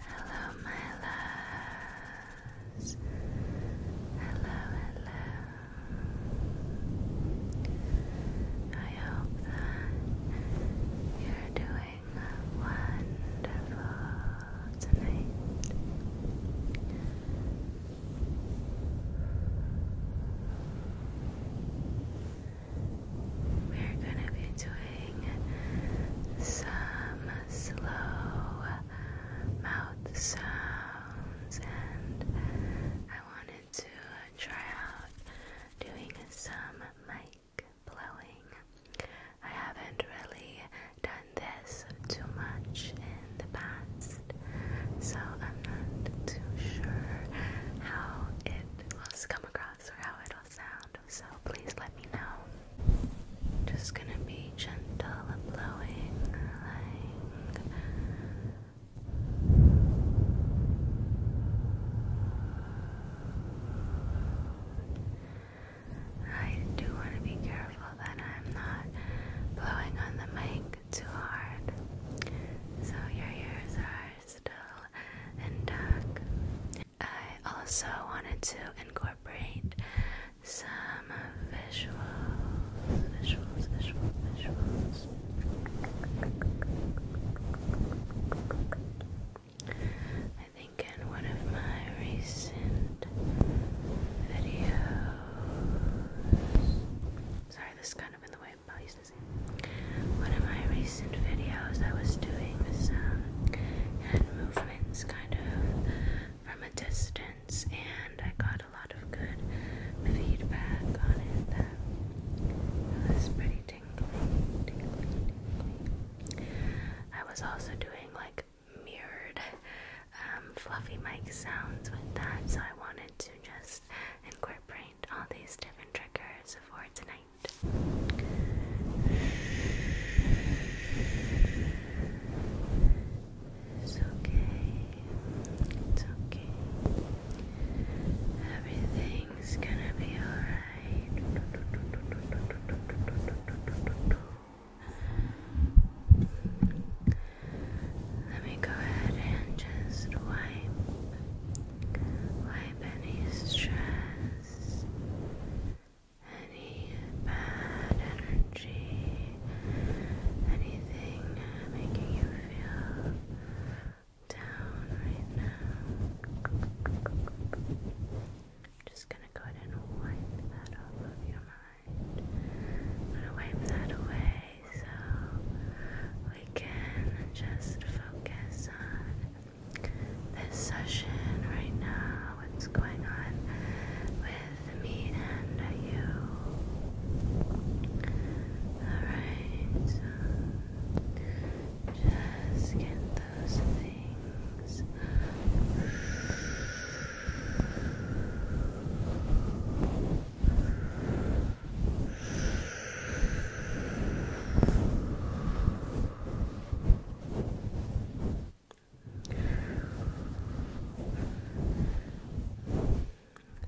Hello, my loves. Hello, hello. I hope that you're doing wonderful tonight. We're going to be some slow mouth sounds, and I wanted to try out doing some mic blowing. I haven't really done this too much in the past, so I'm not too sure how it will come across or how it'll so please let me know. Just gonna be gentle blowing, I do want to be careful that I'm not blowing on the mic too hard, so your ears are still I also wanted to incorporate some visuals, I think in one of my recent videos, sorry, this is kind of in the way, but I'll One of my recent recent videos I was doing some movements kind of from a distance and I got a lot of good feedback on it that was pretty tingling, I was also doing like mirrored um, fluffy mic sounds with that so I wanted to just incorporate all these different triggers for tonight mind. It's okay. It's okay. Everything's gonna be alright. Let me go ahead and just wipe, wipe any stress any bad energy, anything making you feel down right now. Just gonna go ahead and wipe that off of your mind. I'm gonna wipe that away so we can just focus on this session right now, what's going on with me and you. Alright, just get those things.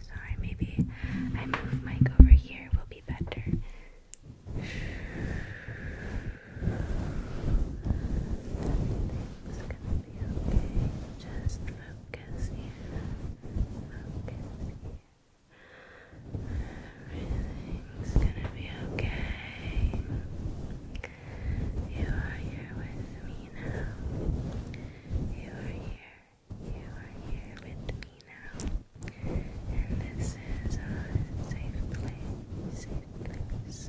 Sorry, maybe I move mic over here will be better. Everything's gonna be okay. Just focus here. Focus here. Everything's gonna be okay. You are here with me now. You are here. You are here with me now. And this is a safe place. Safe place.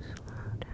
slow down, slow down.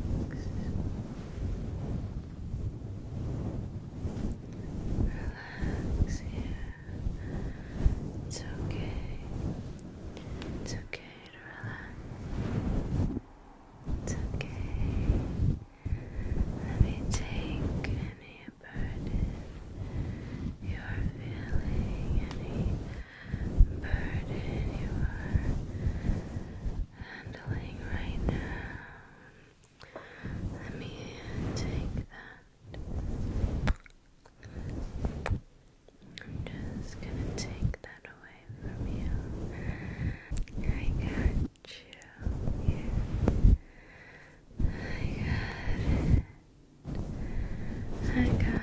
Relax here. It's okay. It's okay to relax. It's okay. Let me take any burden you're feeling, any burden you are handling right now. Let me take that. I'm just gonna take that away from you. I got you. I got it. I got it.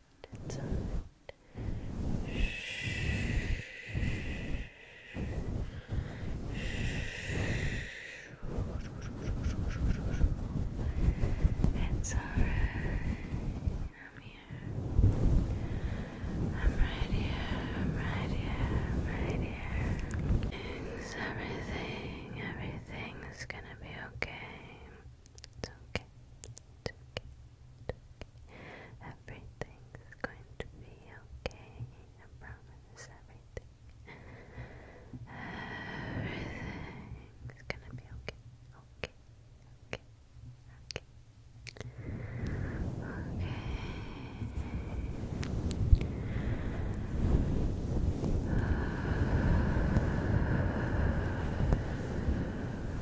inside. It's alright. I'm here. I'm right here. I'm right here. everything, everything is gonna be okay. It's okay. It's okay. Everything's going to be okay. I promise everything. Everything's gonna be okay. Okay. Okay. Okay. Okay.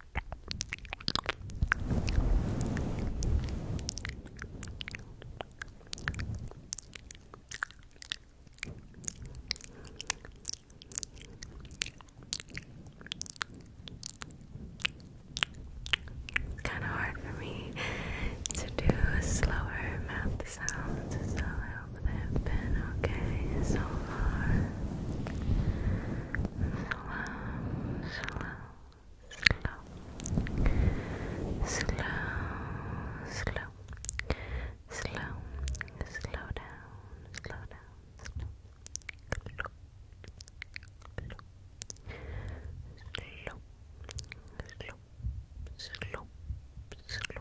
It's kind of hard for me to do slower mouth sounds, so I hope they've been okay so far. Salam, um, salam. Um, slow, slow, slow, slow down, slow down, slow, slow, slow, slow, slow, slow.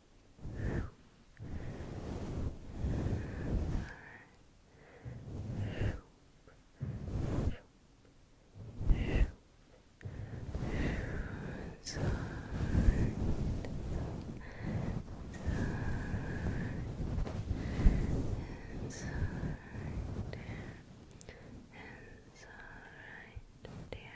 Inside, there, there,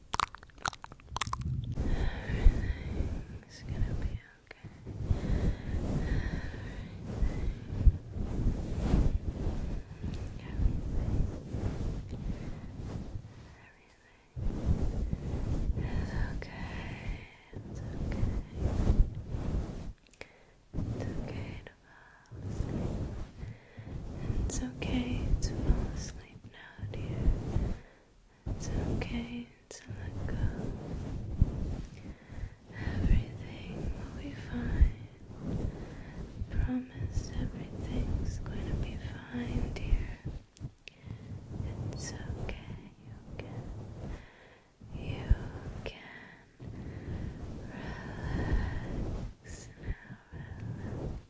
Everything's gonna be okay. Everything. Everything. It's okay. It's okay. to fall asleep. It's okay to fall asleep now, dear. It's okay to let go. Everything will be fine. promise everything's going to be fine, dear. It's okay, you You can relax now, relax.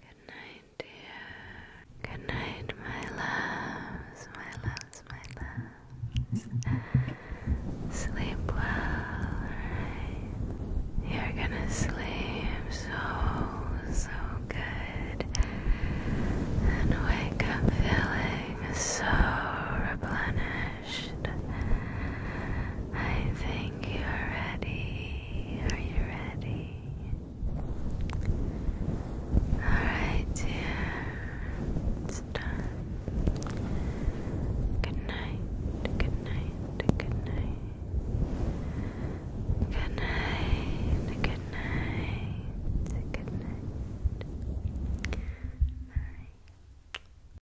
Good night, dear. Good night, my loves, my loves, my loves. sleep well, You're gonna sleep so, so good. And wake up feeling so replenished. I think you're ready. Are you ready? Alright, dear. It's done. Good night. Good night. Good night. Good night, good night, good night. Bye.